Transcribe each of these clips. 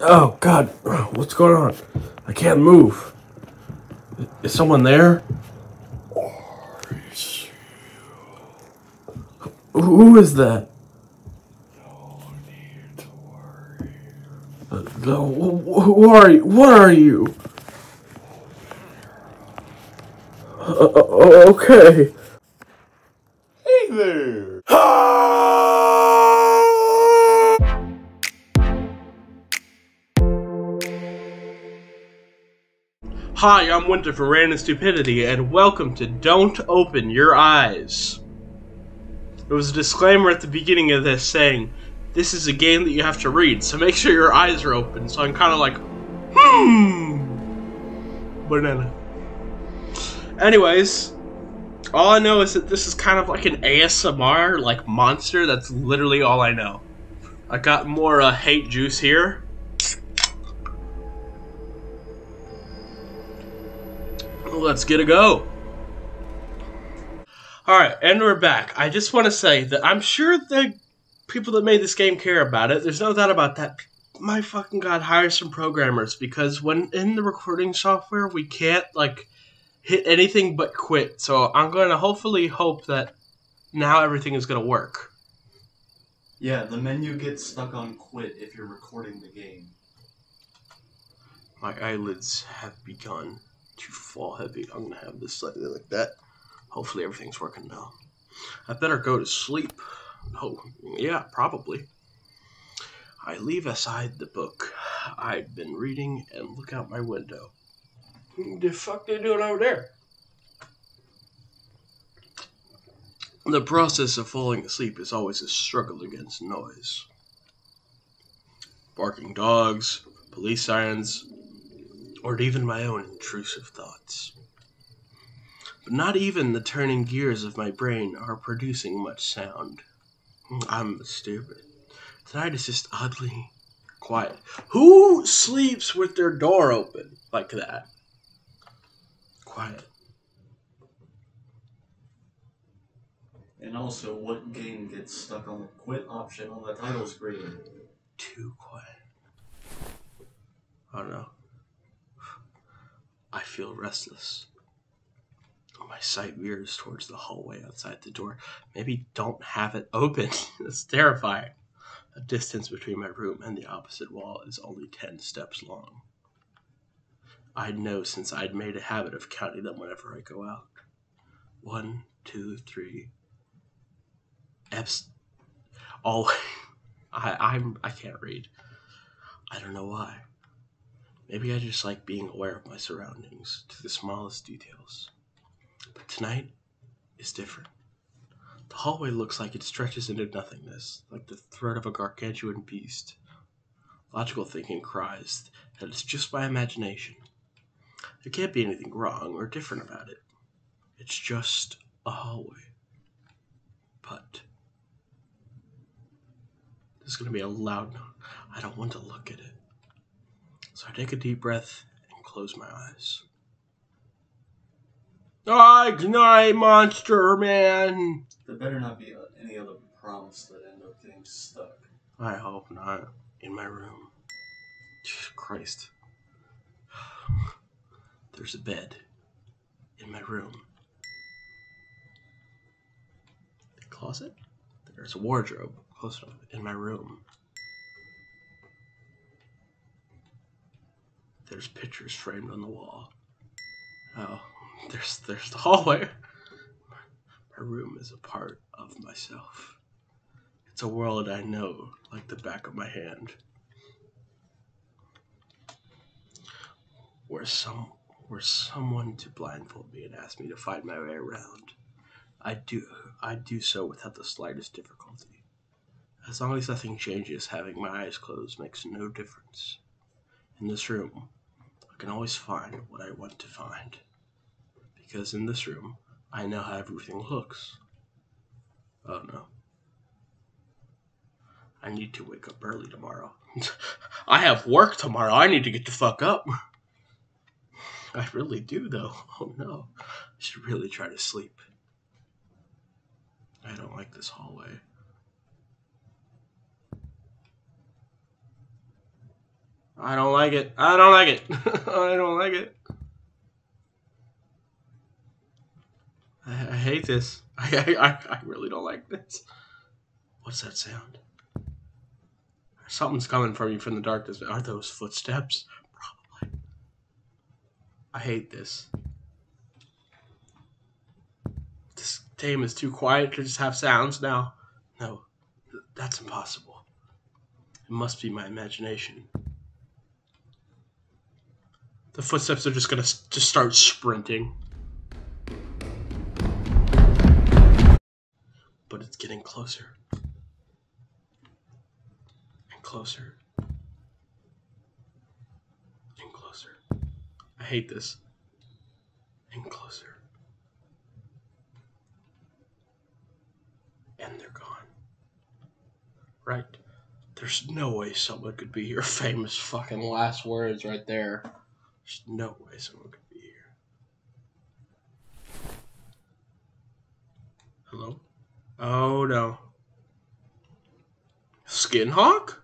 Oh, God, what's going on? I can't move. Is someone there? Who is that? Uh, no need to worry. no, who are you? What are you? Uh, uh, okay. Hey there. Hi, I'm Winter from Random Stupidity, and welcome to Don't Open Your Eyes. There was a disclaimer at the beginning of this saying, this is a game that you have to read, so make sure your eyes are open. So I'm kind of like, hmm, banana. Anyways, all I know is that this is kind of like an ASMR, like, monster. That's literally all I know. I got more uh, hate juice here. Let's get a go. Alright, and we're back. I just want to say that I'm sure the people that made this game care about it. There's no doubt about that. My fucking god, hire some programmers because when in the recording software, we can't, like, hit anything but quit. So I'm going to hopefully hope that now everything is going to work. Yeah, the menu gets stuck on quit if you're recording the game. My eyelids have begun to fall heavy. I'm going to have this slightly like that. Hopefully everything's working now. I better go to sleep. Oh, yeah, probably. I leave aside the book I've been reading and look out my window. The fuck they doing over there? The process of falling asleep is always a struggle against noise. Barking dogs, police sirens, or even my own intrusive thoughts. But not even the turning gears of my brain are producing much sound. I'm stupid. Tonight is just oddly quiet. Who sleeps with their door open like that? Quiet. And also, what game gets stuck on the quit option on the title screen? Too quiet. I don't know. I feel restless. Oh, my sight veers towards the hallway outside the door. Maybe don't have it open. it's terrifying. The distance between my room and the opposite wall is only 10 steps long. I know since I'd made a habit of counting them whenever I go out. One, two, three. Eps. Oh, I'm. I can't read. I don't know why. Maybe I just like being aware of my surroundings to the smallest details. But tonight is different. The hallway looks like it stretches into nothingness, like the throat of a gargantuan beast. Logical thinking cries that it's just my imagination. There can't be anything wrong or different about it. It's just a hallway. But there's going to be a loud knock. I don't want to look at it. So I take a deep breath and close my eyes. I ah, ignite monster man. There better not be any other prompts that end up getting stuck. I hope not. In my room. Christ. There's a bed in my room. The closet? There's a wardrobe close enough in my room. There's pictures framed on the wall. Oh, there's there's the hallway. My room is a part of myself. It's a world I know like the back of my hand. Where some were someone to blindfold me and ask me to find my way around, I'd do, I'd do so without the slightest difficulty. As long as nothing changes, having my eyes closed makes no difference. In this room, I can always find what I want to find. Because in this room, I know how everything looks. Oh no. I need to wake up early tomorrow. I have work tomorrow. I need to get the fuck up. I really do, though. Oh no. I should really try to sleep. I don't like this hallway. I don't like it. I don't like it. I don't like it. I, hate this. I, I really don't like this. What's that sound? Something's coming from you from the darkness. Are those footsteps? Probably. I hate this. This game is too quiet to just have sounds now. No, that's impossible. It must be my imagination. The footsteps are just gonna just start sprinting. But it's getting closer. And closer. And closer. I hate this. And closer. And they're gone. Right? There's no way someone could be here. famous fucking last words right there. There's no way someone could be here. Hello? Oh no. Skinhawk?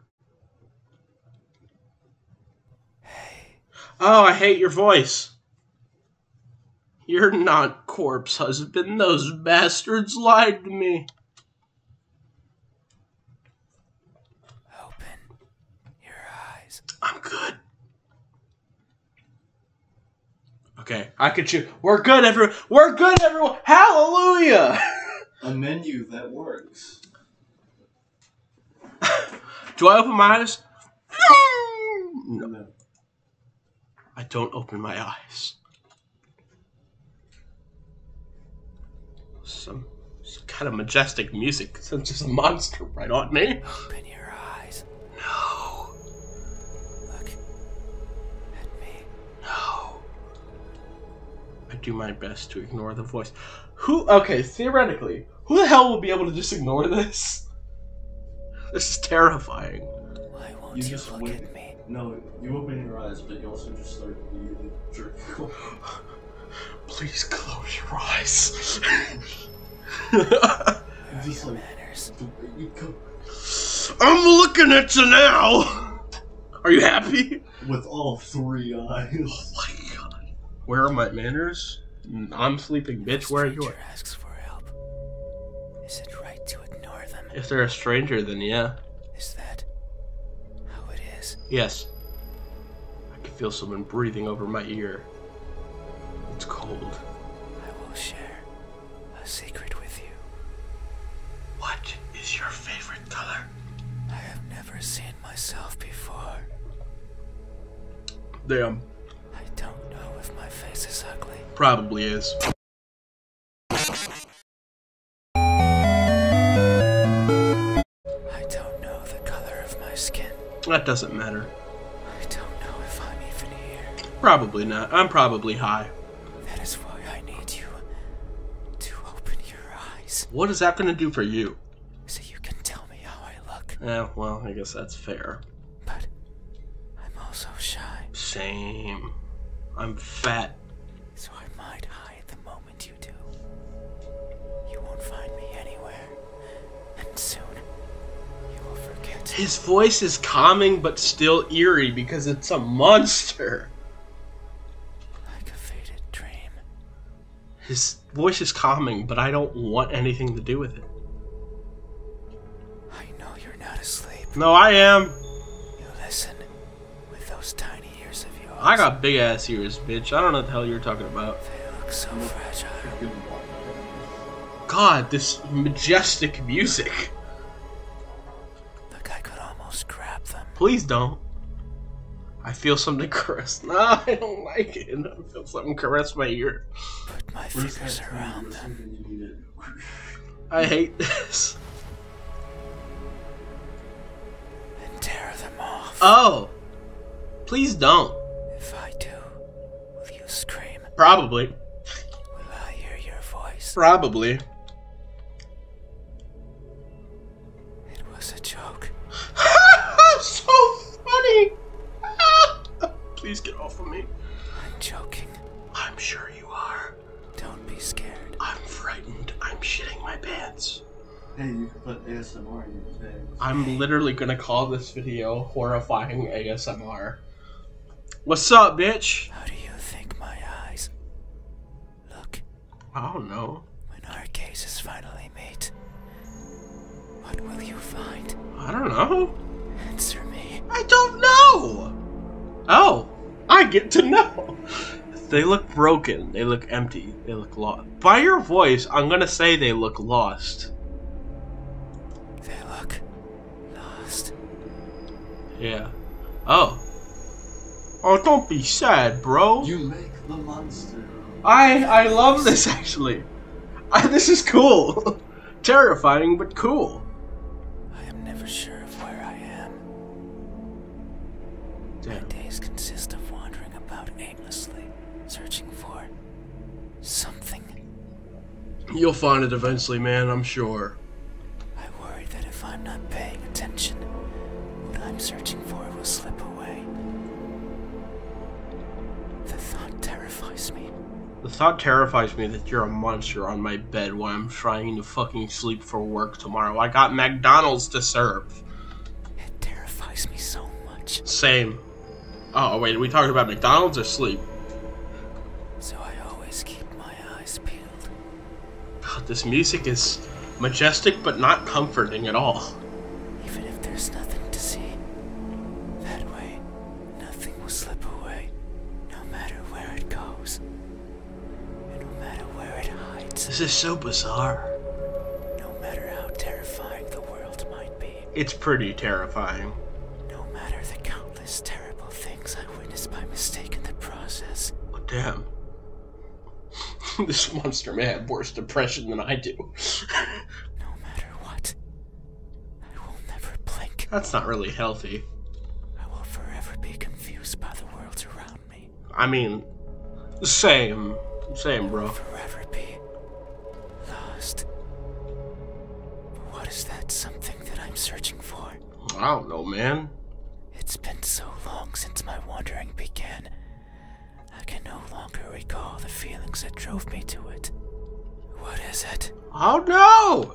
Hey. Oh, I hate your voice. You're not corpse husband. Those bastards lied to me. Open your eyes. I'm good. Okay, I could choose. We're good, everyone. We're good, everyone. Hallelujah. A menu that works. Do I open my eyes? No. no. I don't open my eyes. Some, kind of majestic music. Some just a monster right on me your eyes. No. Look at me. No. I do my best to ignore the voice. Who? Okay, theoretically, who the hell will be able to just ignore this? This is terrifying. Why won't you, just look wait. at me? No, you open your eyes, but you also just start jerking. Please close your eyes. I'm looking at you now. Are you happy? With all three eyes. Oh Where are my manners? I'm sleeping, bitch. Where are you? asks for help. Is it right to ignore them? If they're a stranger, then yeah. Is that how it is? Yes. I can feel someone breathing over my ear. It's cold. I will share a secret with you. What is your favorite color? I have never seen myself before. Damn. I don't know if my face is ugly. Probably is. I don't know the color of my skin. That doesn't matter. I don't know if I'm even here. Probably not. I'm probably high. That is why I need you to open your eyes. What is that going to do for you? So you can tell me how I look. Yeah, well, I guess that's fair. But I'm also shy. Same. I'm fat. So I might hide the moment you do. You won't find me anywhere and soon you will forget. His voice is calming but still eerie because it's a monster. His voice is calming, but I don't want anything to do with it. I know you're not asleep. No, I am. You listen with those tiny ears of yours. I got big ass ears, bitch. I don't know the hell you're talking about. They look so fragile. God, this majestic music. Look, I could almost grab them. Please don't. I feel something caress. No, I don't like it. I feel something caress my ear. Put my fingers around them. I hate this. And tear them off. Oh! Please don't. If I do, Will you scream? Probably. Will I hear your voice? Probably. It was a joke. so funny! Please get off of me. I'm joking. I'm sure you are. Don't be scared. I'm frightened. I'm shitting my pants. Hey, you put ASMR in your face. I'm literally gonna call this video, horrifying ASMR. What's up, bitch? How do you think my eyes look? I don't know. When our cases finally meet, what will you find? I don't know. Answer me. I don't know! Oh, I get to know. they look broken. They look empty. They look lost. By your voice, I'm gonna say they look lost. They look lost. Yeah. Oh. Oh, don't be sad, bro. You make the monster. I I love this actually. this is cool. Terrifying, but cool. I am never sure of where I am. Damn. My days consist of wandering about aimlessly, searching for something. You'll find it eventually, man, I'm sure. I worry that if I'm not paying attention, what I'm searching for will slip away. The thought terrifies me. The thought terrifies me that you're a monster on my bed while I'm trying to fucking sleep for work tomorrow. I got McDonald's to serve. It terrifies me so much. Same. Oh wait, we talking about McDonald's or sleep? So I always keep my eyes peeled. God, this music is majestic but not comforting at all. Even if there's nothing to see, that way nothing will slip away, no matter where it goes, This is so bizarre. No matter how terrifying the world might be. It's pretty terrifying. No matter the countless terrible things I witness by mistake in the process. Oh, damn. this monster may have worse depression than I do. no matter what, I will never blink. That's not really healthy. I will forever be confused by the worlds around me. I mean, same. Same, bro. Forever be Lost. what is that something that I'm searching for? I don't know, man. It's been so long since my wandering began. I can no longer recall the feelings that drove me to it. What is it? I don't know.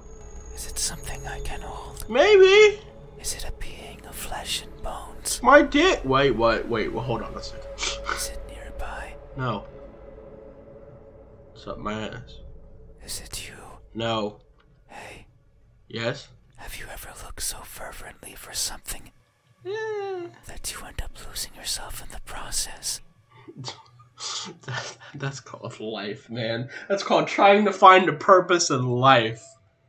Is it something I can hold? Maybe. Is it a being of flesh and bones? My dick. Wait, wait, wait. Well, hold on a second. is it nearby? No. It's up my ass. Is it you? No. Hey. Yes? Have you ever looked so fervently for something that you end up losing yourself in the process? that's called life, man. That's called trying to find a purpose in life.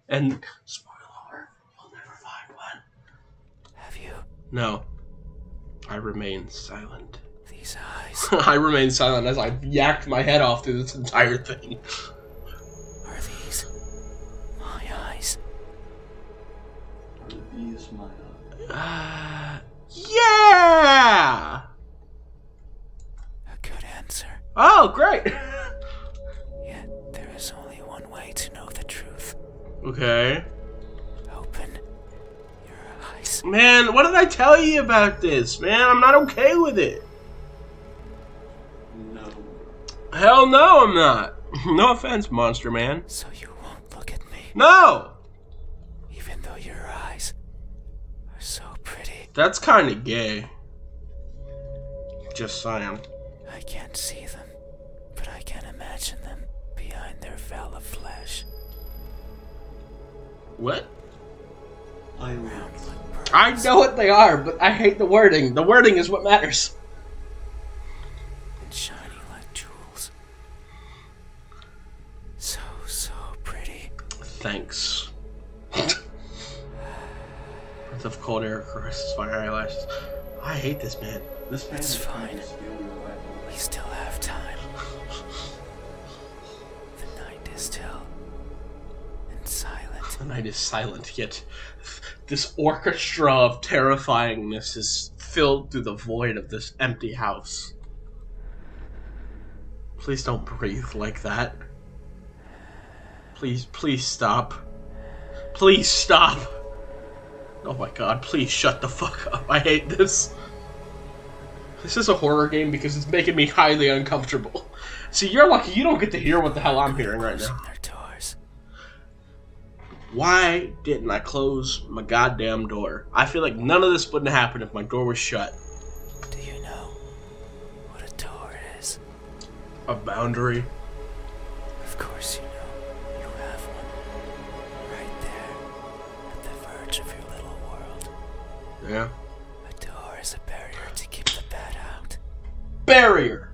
And spoiler, you'll never find one. Have you? No. I remain silent. These eyes. I remain silent as I yacked my head off through this entire thing. Are these my eyes? Are these my eyes? Uh, yeah! A good answer. Oh, great! Okay. Open Man, what did I tell you about this? Man, I'm not okay with it. No. Hell no, I'm not. no offense, Monster Man. So you won't look at me? No! Even though your eyes are so pretty. That's kind of gay. Just saying. I can't see them, but I can imagine them behind their veil of flesh. What? I know what they are, but I hate the wording. The wording is what matters. And shiny like jewels. So, so pretty. Thanks. Breath of cold air caresses my eyelashes. I hate this man. This man. It's fine. We still have time. The night is still and silent. The night is silent, yet this orchestra of terrifyingness is filled through the void of this empty house. Please don't breathe like that. Please, please stop. Please stop! Oh my god, please shut the fuck up. I hate this. This is a horror game because it's making me highly uncomfortable. See, you're lucky you don't get to hear what the hell I'm hearing right now. Why didn't I close my goddamn door? I feel like none of this wouldn't happen if my door was shut. Do you know what a door is? A boundary. Of course you know. You have one. Right there at the verge of your little world. Yeah. A door is a barrier to keep the bad out. Barrier.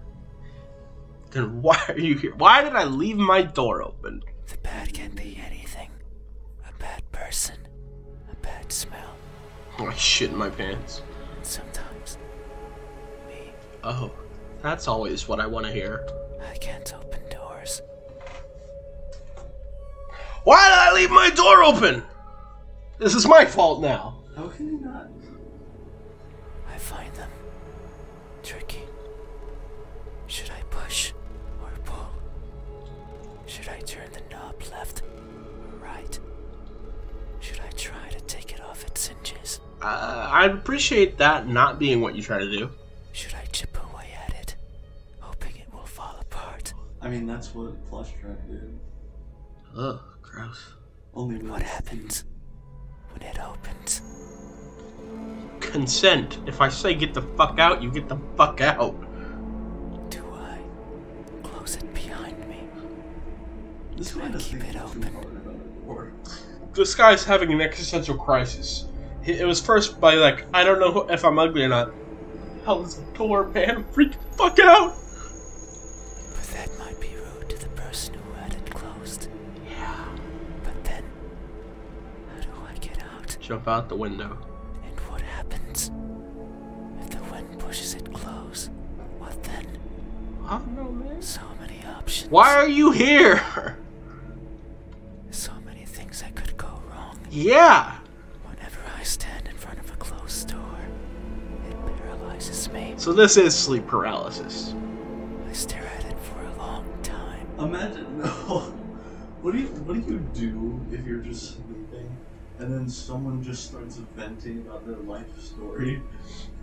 Then why are you here? Why did I leave my door open? The bad can be anything. A bad person. A bad smell. Oh, I shit in my pants. Sometimes. Me. Oh, that's always what I want to hear. I can't open doors. Why did I leave my door open? This is my fault now. How can you not? I find them tricky. Should I push or pull? Should I turn the knob left or right? Should I try to take it off its hinges? i appreciate that not being what you try to do. Should I chip away at it hoping it will fall apart. I mean, that's what plush trap did. Ugh, gross. Only what happens when it opens? Consent. If I say get the fuck out, you get the fuck out. Do I close it behind me? This Do I keep it open? This guy's having an existential crisis. It was first by like, I don't know if I'm ugly or not that? How this poor man freaked the fuck out! But that might be rude to the person who had it closed. Yeah. But then, how do I get out? Jump out the window. And what happens? If the wind pushes it close, what then? I don't know, man. So many options. Why are you here? So many things that could go wrong. Yeah! Whenever I stand in front of a closed door, it paralyzes me. So this is sleep paralysis. I stare at it for a long time. Imagine no. What do you what do you do if you're just sleeping and then someone just starts venting about their life story?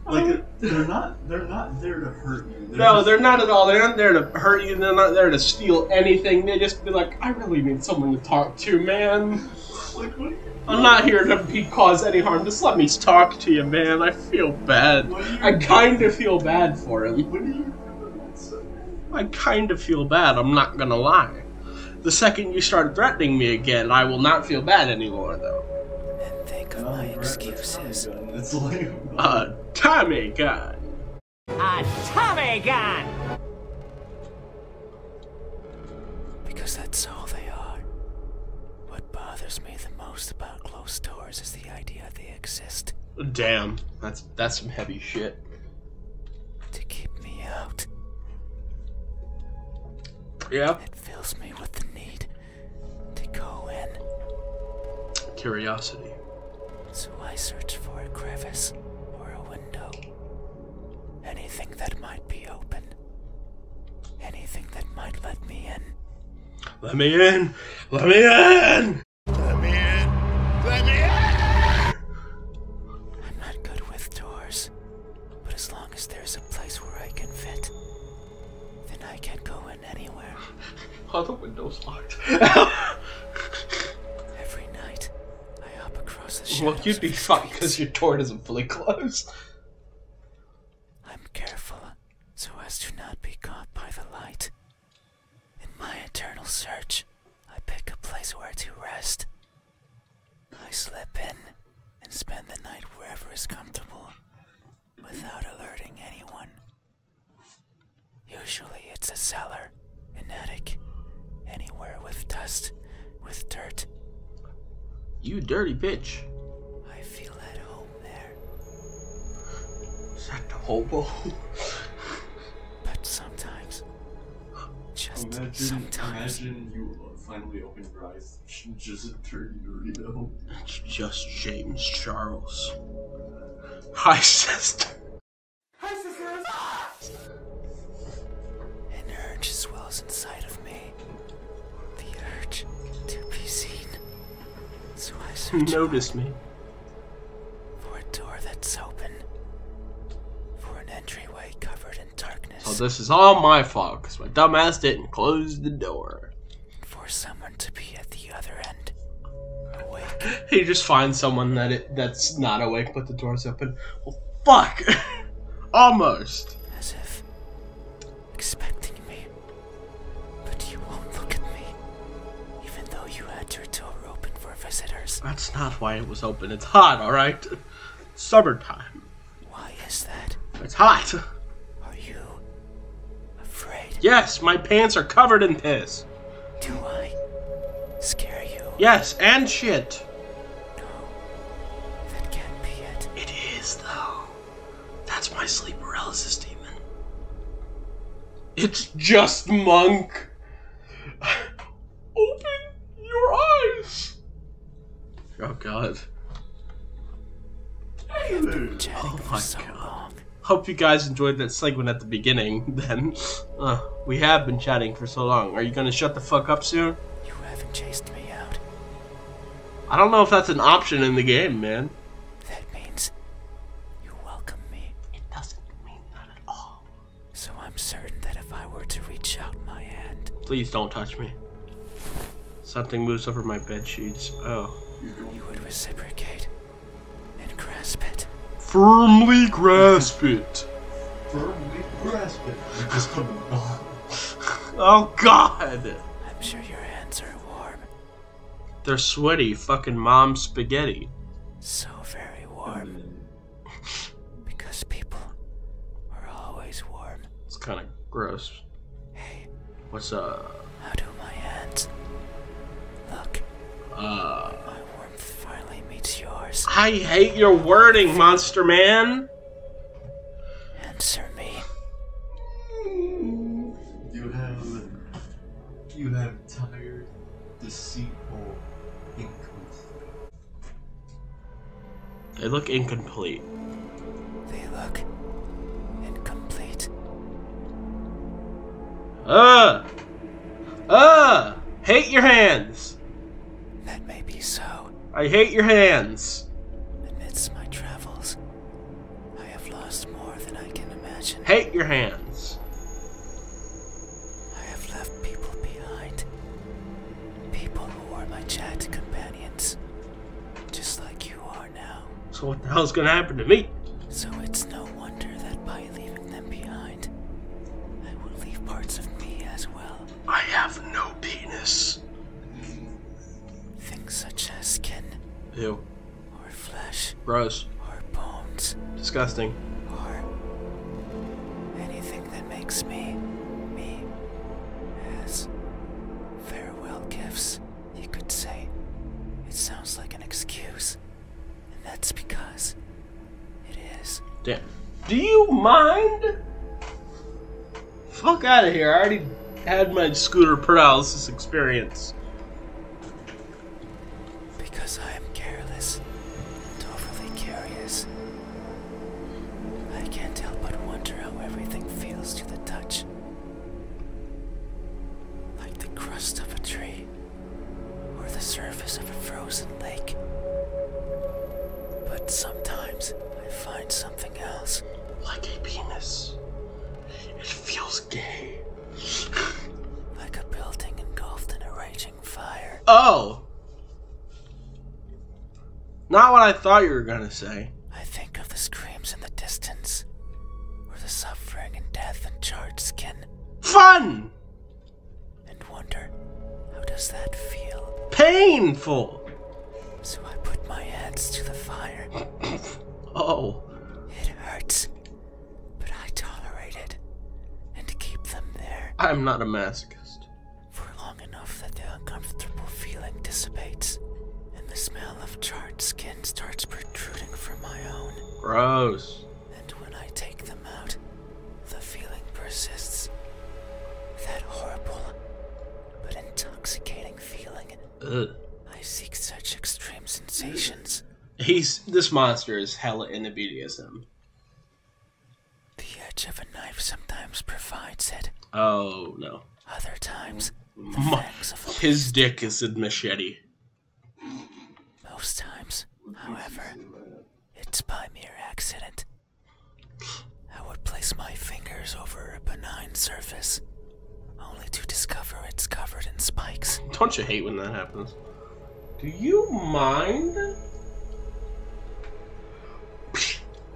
Like um. they're not they're not there to hurt you. no, they're not at all. They're not there to hurt you. They're not there to steal anything. They just be like I really need someone to talk to, man. I'm not here to cause any harm. Just let me talk to you, man. I feel bad. I kind of feel bad for him. I kind of feel bad. I'm not gonna lie. The second you start threatening me again, I will not feel bad anymore, though. And think of my excuses. It's like, uh, Tommy God. A Tommy gun! Because that's all they are. What bothers me the most about closed doors is the idea they exist. Damn, that's that's some heavy shit. To keep me out. Yeah. It fills me with the need to go in. Curiosity so I searched for a crevice or a window. Anything that might be open. Anything that might let me in. Let me in! Let me in! Let me in! Let me in! I'm not good with doors, but as long as there's a place where I can fit, then I can go in anywhere. Are the windows locked? Every night, I up across the shadows. Well, you'd be fine because your door doesn't fully close. I'm careful so as to not be caught by the light. In my eternal search, I pick a place where to rest. I slip in and spend the night wherever is comfortable without alerting anyone. Usually it's a cellar, an attic, anywhere with dust, with dirt. You dirty bitch. I feel at home there. Is that the hobo? but sometimes, just imagine, sometimes. Imagine you uh, finally open your eyes. Just a dirty Dorito. It's just James Charles. Hi, sister. Hi, sisters! Ah! An urge swells inside of me. The urge to be seen. So I search. You noticed me. For a door that's open. For an entryway covered in darkness. Oh, this is all my fault because my dumbass didn't close the door. For someone to be at the other end. Awake. he just finds someone that it, that's not awake, but the door's open. Well, fuck! Almost. As if expecting me, but you won't look at me, even though you had your door open for visitors. That's not why it was open. It's hot, all right. It's time. Why is that? It's hot. Are you afraid? Yes, my pants are covered in piss. Do I scare you? Yes, and shit. No. That can't be it. It is, though. That's my sleep paralysis demon. It's just Monk. Open your eyes. Oh, God. Oh my god. Hope you guys enjoyed that segment at the beginning, then. Uh, we have been chatting for so long. Are you gonna shut the fuck up soon? You haven't chased me out. I don't know if that's an option in the game, man. That means you welcome me. It doesn't mean that at all. So I'm certain that if I were to reach out my hand. Please don't touch me. Something moves over my bed sheets. Oh. You would reciprocate and grasp it. Firmly grasp it. oh God! I'm sure your hands are warm. They're sweaty, fucking mom spaghetti. So very warm. because people are always warm. It's kind of gross. Hey. What's up? How do my hands look? Uh finally meets yours. I hate your wording, Monster Man. Answer me. You have, you have tired, deceitful, incomplete. They look incomplete. They look incomplete. Ah. Ah! Hate your hands! That may be so. I hate your hands. Amidst my travels, I have lost more than I can imagine. Hate your hands. I have left people behind. People who were my chat companions. Just like you are now. So what the hell's gonna happen to me? So it's no wonder that by leaving them behind, I will leave parts of me as well. I have no penis. Things such as skin. Ew. Or flesh. Gross. Or bones. Disgusting. Or anything that makes me me as farewell gifts, you could say. It sounds like an excuse. And that's because it is. Damn. Do you mind? Fuck out of here. I already had my scooter paralysis experience. Because I am careless and overly curious. I can't help but wonder how everything feels to the touch. Like the crust of a tree or the surface of a frozen lake. But sometimes I find something else. Like a penis. It feels gay. like a building engulfed in a raging fire. Oh! Not what I thought you were gonna say. I think of the screams in the distance, or the suffering and death and charred skin. Fun! and wonder, how does that feel? Painful! So I put my hands to the fire. oh. It hurts, but I tolerate it and keep them there. I'm not a masochist. For long enough that the uncomfortable feeling dissipates and the smell of charred skin starts protruding from my own. Gross. And when I take them out, the feeling persists. That horrible but intoxicating feeling. Ugh. I seek such extreme sensations. He's this monster is hella into BDSM. The edge of a knife sometimes provides it. Oh no. Other times, My, his dick is a machete. Most times, however, it's by mere accident. I would place my fingers over a benign surface, only to discover it's covered in spikes. Don't you hate when that happens? Do you mind?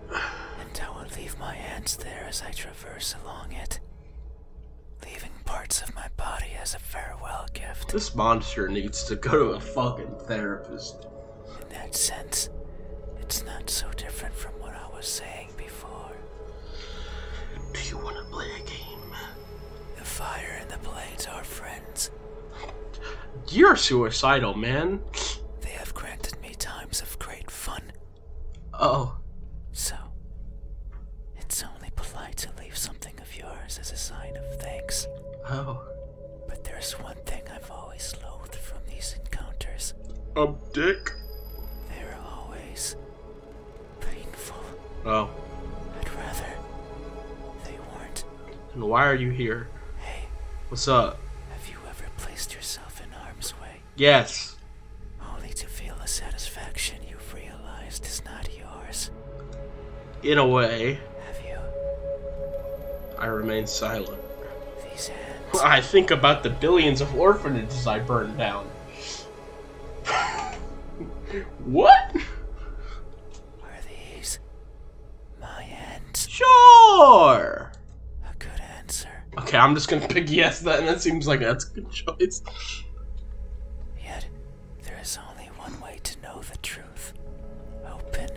And I will leave my hands there as I traverse along it, leaving parts of my body as a farewell gift. This monster needs to go to a fucking therapist. In that sense, it's not so different from what I was saying before. Do you want to play a game? The fire and the blades are friends. You're suicidal, man. They have granted me times of great fun. Oh. So, it's only polite to leave something of yours as a sign of thanks. Oh. But there's one thing I've always loathed from these encounters. A dick? They're always painful. Oh. I'd rather they weren't. And why are you here? Hey. What's up? Have you ever placed yourself in harm's way? Yes. Only to feel the satisfaction you've realized is not yours in a way. Have you? I remain silent. These hands. I think about the billions of orphanages I burned down. what? Are these my hands? Sure. A good answer. Okay, I'm just gonna pick yes then. That seems like that's a good choice. Yet, there is only one way to know the truth. Open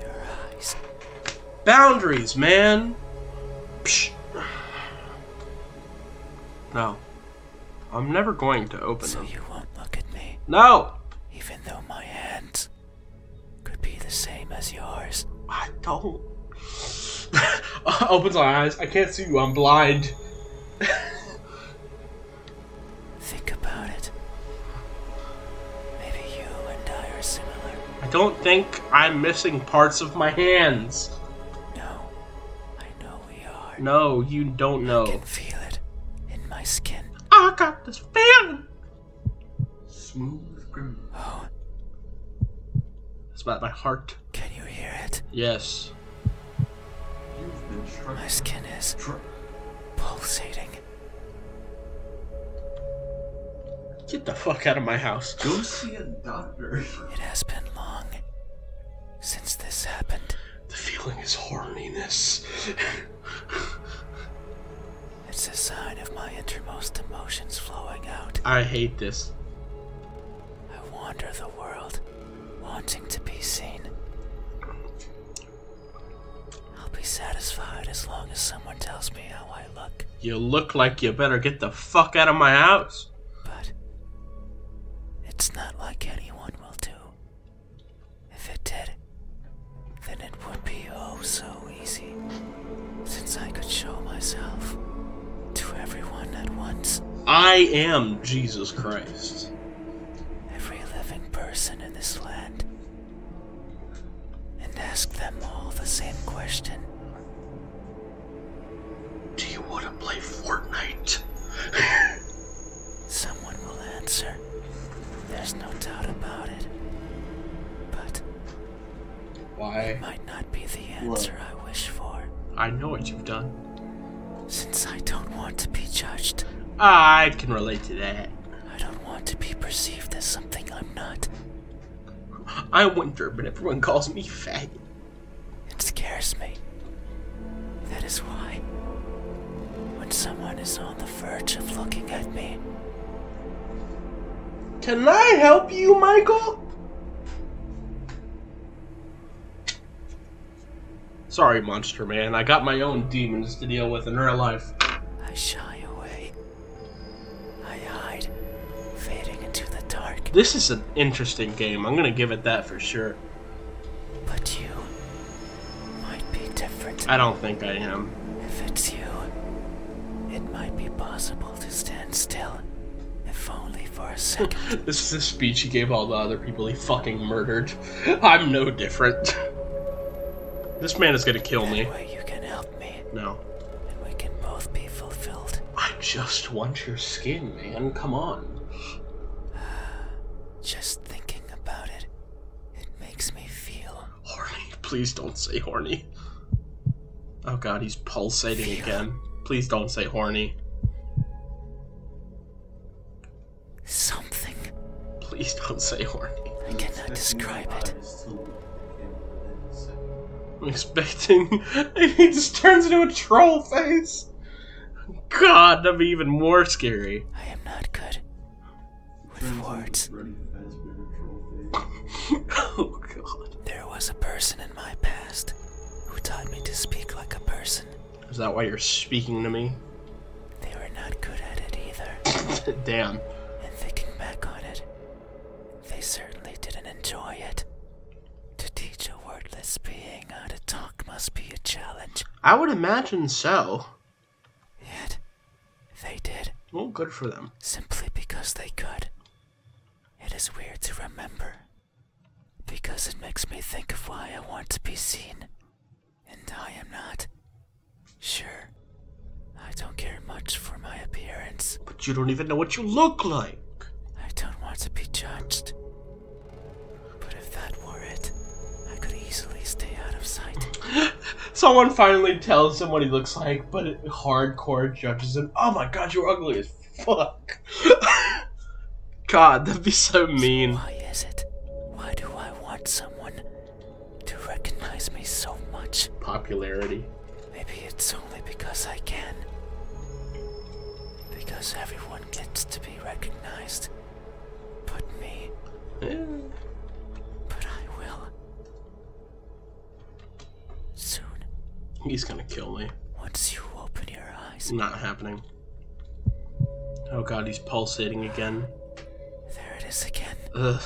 your eyes. Boundaries, man! No. I'm never going to open So you won't look at me? No! Even though my hands could be the same as yours. I don't. Opens my eyes. I can't see you. I'm blind. Think about it. Maybe you and I are similar. I don't think I'm missing parts of my hands. No, I know we are. No, you don't know. I can feel it in my skin. I got this feeling. Smooth groove. Oh. It's about my heart. Can you hear it? Yes. My skin is pulsating. Get the fuck out of my house. Go see a doctor. It has been long since this happened. The feeling is horniness. it's a sign of my innermost emotions flowing out. I hate this. I wander the world, wanting to be seen. I'll be satisfied as long as someone tells me how I look. You look like you better get the fuck out of my house. But it's not like anyone will do. If it did, then it would be oh so easy. Since I could show myself to everyone at once. I am Jesus Christ. Every living person in this land and ask them all the same question. Do you want to play Fortnite? Someone will answer. There's no doubt about it. But. Why? might not be the answer I wish for. I know what you've done. Since I don't want to be judged. I can relate to that. I don't want to be perceived as something I'm not. I am wonder but everyone calls me fat. It scares me. That is why, when someone is on the verge of looking at me. Can I help you, Michael? Sorry, Monster Man. I got my own demons to deal with in real life. I shy away. This is an interesting game. I'm gonna give it that for sure. But you might be different. I don't think I am. If it's you, it might be possible to stand still, if only for a second. this is the speech he gave all the other people he fucking murdered. I'm no different. this man is gonna kill me you can help me. No. And we can both be fulfilled. I just want your skin, man. Come on. Just thinking about it, it makes me feel horny. Please don't say horny. Oh god, he's pulsating again. Please don't say horny. Something. Please don't say horny. I cannot describe it i I'm expecting. he just turns into a troll face! God, that'd be even more scary. I am not good with words. oh, God. There was a person in my past who taught me to speak like a person. Is that why you're speaking to me? They were not good at it either. Damn. And thinking back on it, they certainly didn't enjoy it. To teach a wordless being how to talk must be a challenge. I would imagine so. Yet, they did. Well, good for them. Simply because they could. It is weird to remember. Because it makes me think of why I want to be seen. And I am not. Sure. I don't care much for my appearance. But you don't even know what you look like. I don't want to be judged. But if that were it, I could easily stay out of sight. Someone finally tells him what he looks like, but hardcore judges him. Oh my god, you're ugly as fuck. god, that'd be so mean. why is it? Why do I want someone to recognize me so much. Popularity. Maybe it's only because I can. Because everyone gets to be recognized. But me. But I will. Soon. He's gonna kill me. Once you open your eyes. Not happening. Oh god, he's pulsating again. There it is again. Ugh.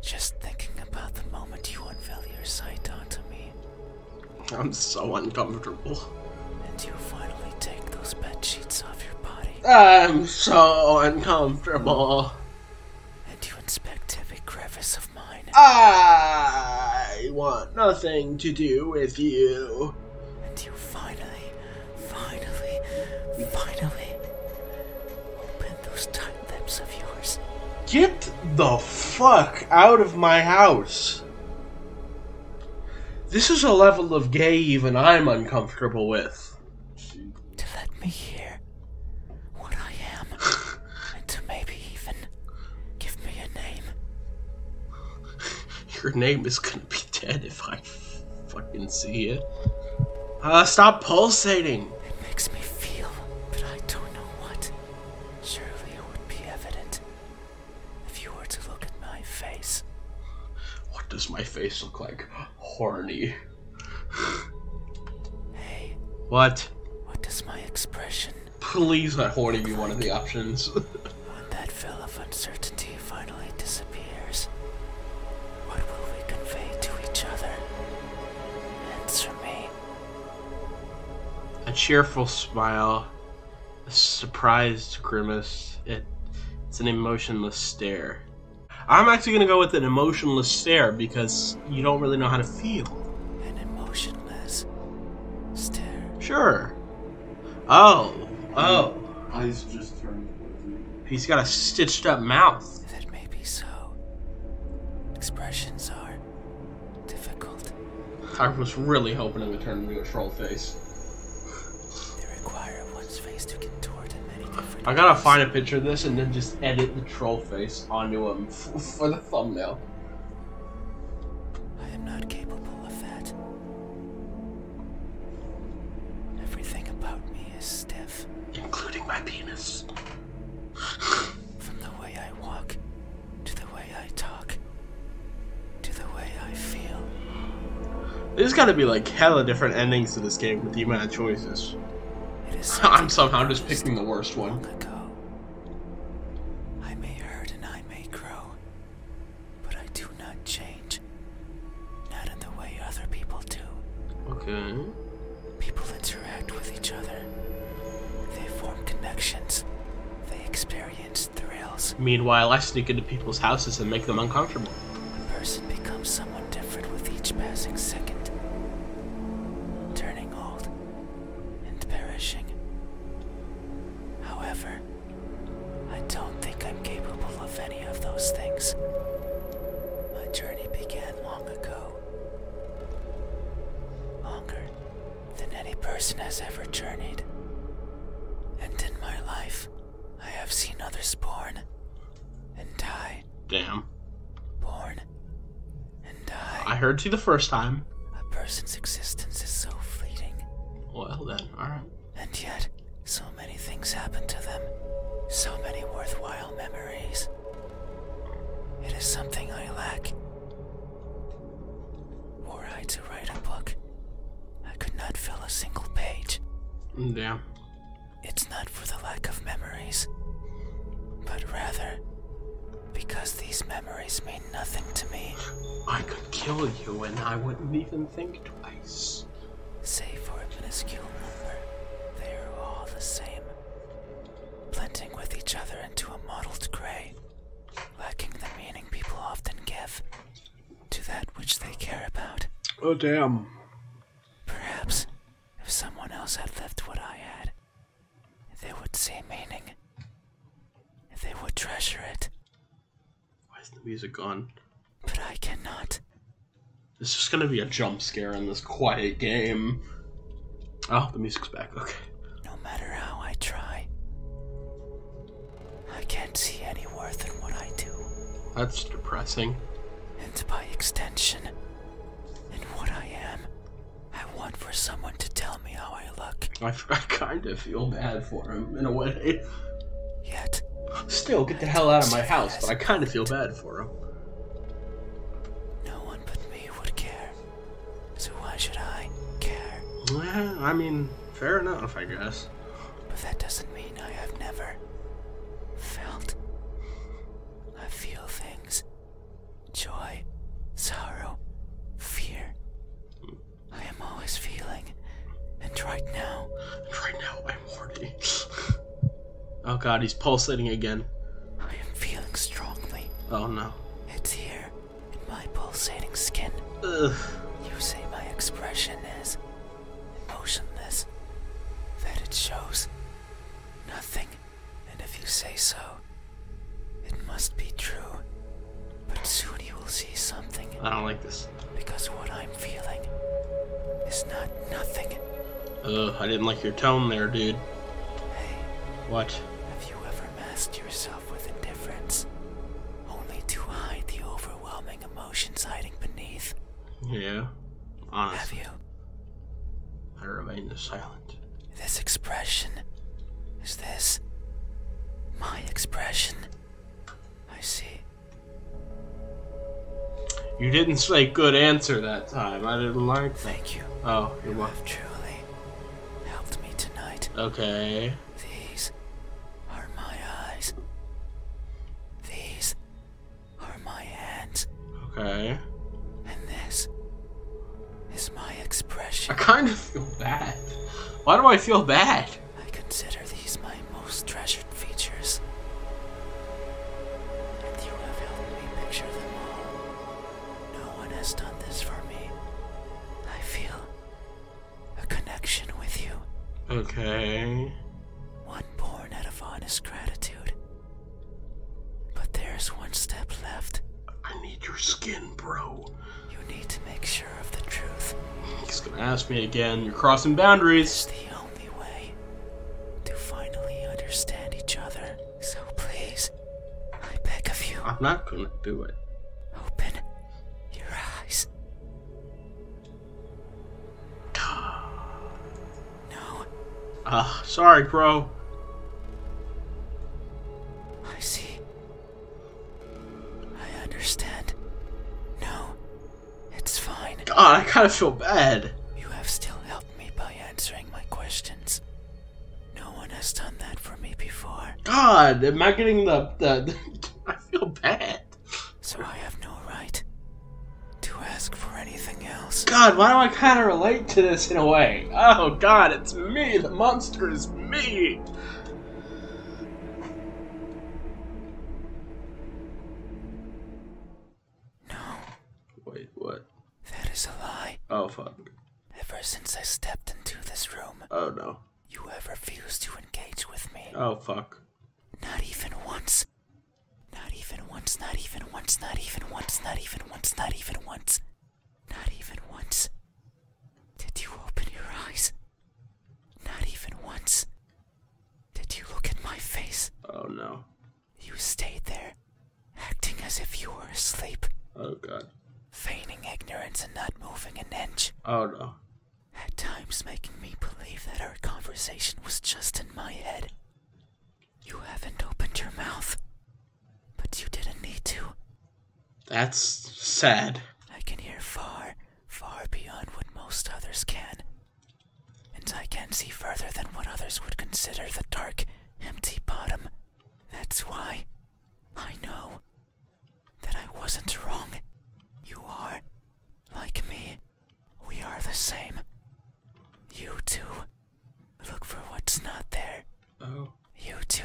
Just thinking about the moment you unveil your sight onto me. I'm so uncomfortable. And you finally take those bed sheets off your body. I'm so uncomfortable. And you inspect every crevice of mine. I want nothing to do with you. And you finally, finally, finally open those tiny Get the fuck out of my house! This is a level of gay even I'm uncomfortable with. To let me hear what I am, and to maybe even give me a name. Your name is gonna be dead if I fucking see it. Uh, stop pulsating! It makes me feel, but I don't know what. Surely it would be evident if you were to look at my face. What does my face look like? Horny. hey. What? What does my expression? Please let horny be one of the options. when that veil of uncertainty finally disappears, what will we convey to each other? Answer me. A cheerful smile, a surprised grimace. It, it's an emotionless stare. I'm actually going to go with an emotionless stare because you don't really know how to feel. An emotionless stare. Sure. Oh, oh. Eyes just turned blue. He's got a stitched up mouth. That may be so. Expressions are difficult. I was really hoping it would turn into a troll face. They require one's face to contort in many different I gotta find a picture of this and then just edit the troll face onto him for the thumbnail. I am not capable of that. Everything about me is stiff. Including my penis. From the way I walk, to the way I talk, to the way I feel. There's gotta be like hella different endings to this game with the amount of choices. I'm somehow just picking the worst one. I may hurt and I may grow, but I do not change. Not in the way other people do. Okay. People interact with each other. They form connections. They experience thrills. Meanwhile, I sneak into people's houses and make them uncomfortable. A person becomes someone different with each passing second, turning old and perishing. However, I don't think I'm capable of any of those things. My journey began long ago Longer than any person has ever journeyed. And in my life, I have seen others born and die. Damn. Born and die. I heard you the first time. A person's existence is so fleeting. Well, then, And yet, so many things happen to them. So many worthwhile memories. It is something I lack. Were I to write a book, I could not fill a single page. Damn. It's not for the lack of memories, but rather because these memories mean nothing to me. I could kill you and I wouldn't even think twice. Save for a minuscule number, they are all the same blending with each other into a mottled gray, lacking the meaning people often give to that which they care about. Oh, damn. Perhaps if someone else had left what I had, they would see meaning. They would treasure it. Why is the music gone? But I cannot. It's just gonna be a jump scare in this quiet game. Oh, the music's back. Okay. No matter how I try, I can't see any worth in what I do. That's depressing. And by extension, in what I am, I want for someone to tell me how I look. I, I kind of feel bad for him in a way. Yet. Still, get the hell out of my house, but I kind of feel bad for him. No one but me would care. So why should I care? Yeah, I mean, fair enough, I guess. But that doesn't mean I have never felt. I feel things joy, sorrow, fear. I am always feeling. And right now. And right now, I'm horny. Oh god, he's pulsating again. I am feeling strongly. Oh no. It's here, in my pulsating skin. Ugh. You say my expression is emotionless. That it shows nothing. And if you say so, it must be true. But soon you will see something. I don't like this. Because what I'm feeling is not nothing. I didn't like your tone there, dude. Hey. What? Have you ever masked yourself with indifference? Only to hide the overwhelming emotions hiding beneath? Yeah. Honestly. Have you? I remain silent. This expression. Is this. my expression? I see. You didn't say good answer that time. I didn't like. Thank you. Oh, you're you have truly helped me tonight. Okay. These are my eyes. These are my hands. Okay. And this is my expression. I kind of feel bad. Why do I feel bad? I consider these my most treasured features. And you have helped me picture them all. No one has done this for me. I feel a connection with you. Okay. One born out of honest gratitude. But there's one step left. I need your skin, bro. You need to make sure of the truth. He's gonna ask me again. You're crossing boundaries. It's the only way to finally understand each other. So please, I beg of you. I'm not gonna do it. Open your eyes. No. Ah, sorry, crow. I see. I understand. No, it's fine. God, I kind of feel bad. You have still helped me by answering my questions. No one has done that for me before. God, am I getting the. the I feel bad. So I have no right to ask for anything else. God, why do I kind of relate to this in a way? Oh, God, it's me. The monster is me. No. Wait, what? That is a lie. Oh, fuck. Ever since I stepped into this room. Oh, no. You have refused to engage with me. Oh, fuck. Not even once. Not even once, not even once, not even once, not even once, not even once. Not even once. Did you open your eyes? Not even once. Did you look at my face? Oh no. You stayed there, acting as if you were asleep. Oh god. Feigning ignorance and not moving an inch. Oh no. At times making me believe that our conversation was just in my head. You haven't opened your mouth, but you didn't need to. That's sad. I can hear far, far beyond what most others can. And I can see further than what others would consider the dark, empty bottom that's why I know that I wasn't wrong. You are like me. We are the same. You two, Look for what's not there. Oh. You two,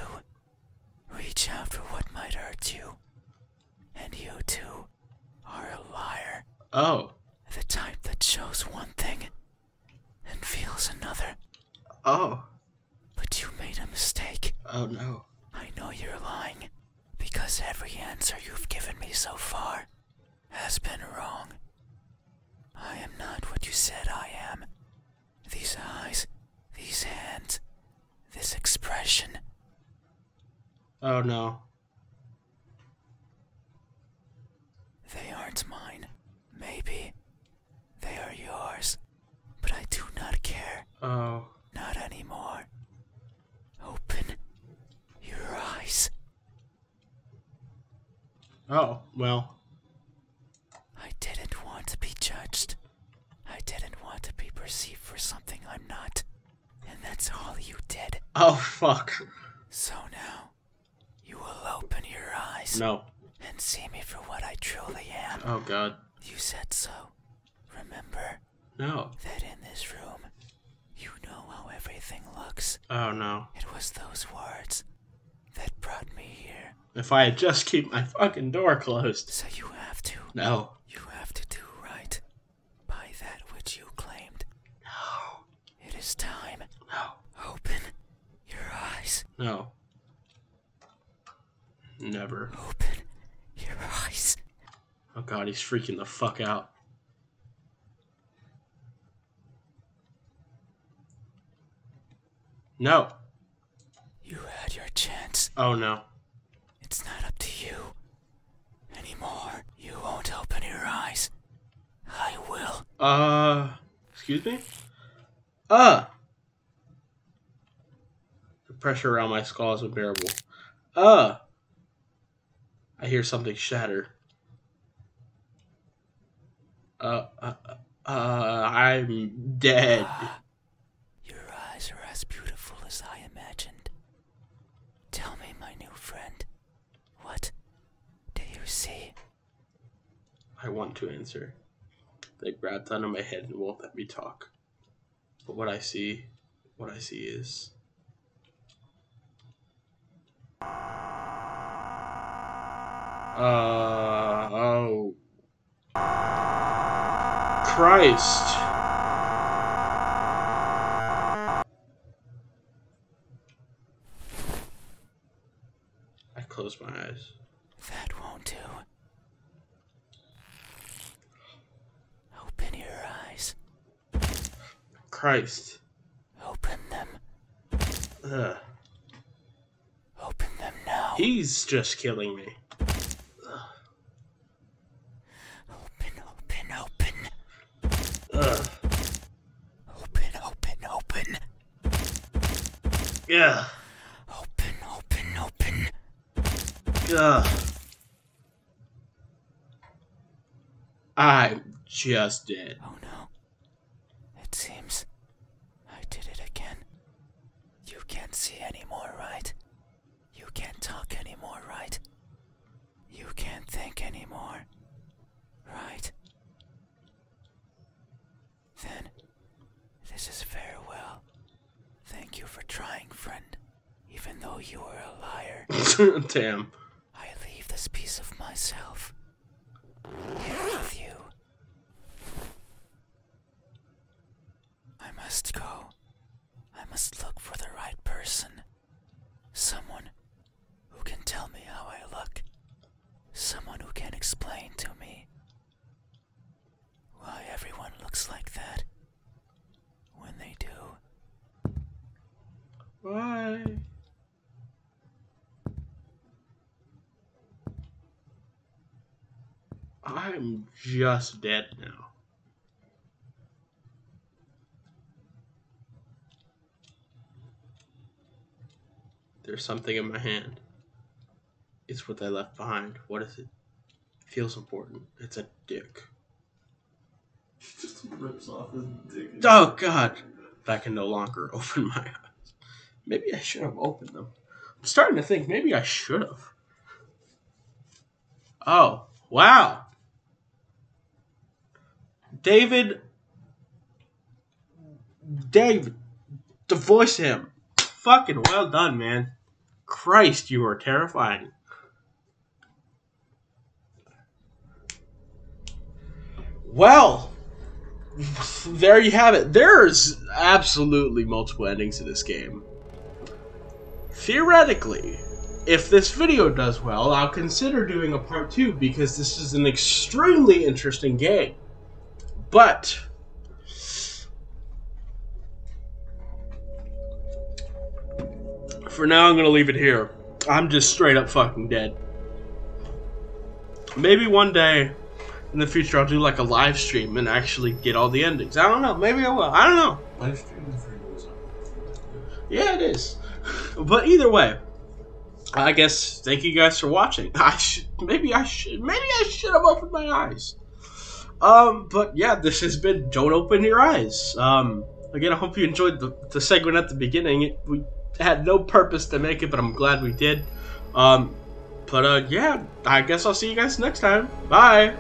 Reach out for what might hurt you. And you too are a liar. Oh. The type that shows one thing and feels another. Oh. But you made a mistake. Oh no. I know you're lying, because every answer you've given me so far has been wrong. I am not what you said I am. These eyes, these hands, this expression. Oh no. They aren't mine. Maybe they are yours, but I do not care. Oh. Not anymore. Open your eyes. Oh, well. I didn't want to be judged. I didn't want to be perceived for something I'm not. And that's all you did. Oh, fuck. So now, you will open your eyes. No. And see me for what I truly am. Oh, God. You said so. Remember? No. That in this room, you know how everything looks. Oh, no. It was those words that brought me here. If I just keep my fucking door closed. So you have to. No. You have to do right by that which you claimed. No. It is time. No. Open your eyes. No. Never. Open your eyes. Oh god, he's freaking the fuck out. No. You had your chance. Oh no. It's not up to you anymore. You won't open your eyes. I will. Uh, excuse me? Uh. The pressure around my skull is unbearable. Uh. I hear something shatter. Uh, uh, uh, I'm dead. your eyes are as beautiful as I imagined. Tell me, my new friend, what do you see? I want to answer. They grabbed onto my head and won't let me talk. But what I see, what I see is. Uh, oh. Christ. I closed my eyes. That won't do. Open your eyes. Christ. Open them. Ugh. Open them now. He's just killing me. Ugh. Open, open, open. Ugh. Open, open, open. Yeah. Open, open, open. Ugh. I just did. Oh no. It seems I did it again. You can't see anymore, right? You can't talk anymore, right? You can't think anymore, right? Then, this is farewell. Thank you for trying, friend, even though you are a liar. Damn. I leave this piece of myself here with you. I must go. I must look for the right person. Someone who can tell me how I look. Someone who can explain to me why everyone looks like that when they do. Why? I'm just dead now. There's something in my hand. It's what they left behind. What is it? Feels important. It's a dick. Just rips off his dick. Oh god! I can no longer open my eyes. Maybe I should have opened them. I'm starting to think maybe I should have. Oh, wow. David Dave, divorce him. Fucking well done, man. Christ, you are terrifying. Well, there you have it. There's absolutely multiple endings to this game. Theoretically, if this video does well, I'll consider doing a part 2 because this is an extremely interesting game. But for now, I'm going to leave it here. I'm just straight up fucking dead. Maybe one day in the future I'll do like a live stream and actually get all the endings. I don't know. Maybe I will. I don't know. Yeah, it is. But either way, I guess Thank you guys for watching. I maybe I should maybe I should have opened my eyes. Um, but yeah, this has been Don't Open Your Eyes. Um, again, I hope you enjoyed the, segment at the beginning. It, we had no purpose to make it, but I'm glad we did. Um, but uh, yeah, I guess I'll see you guys next time. Bye.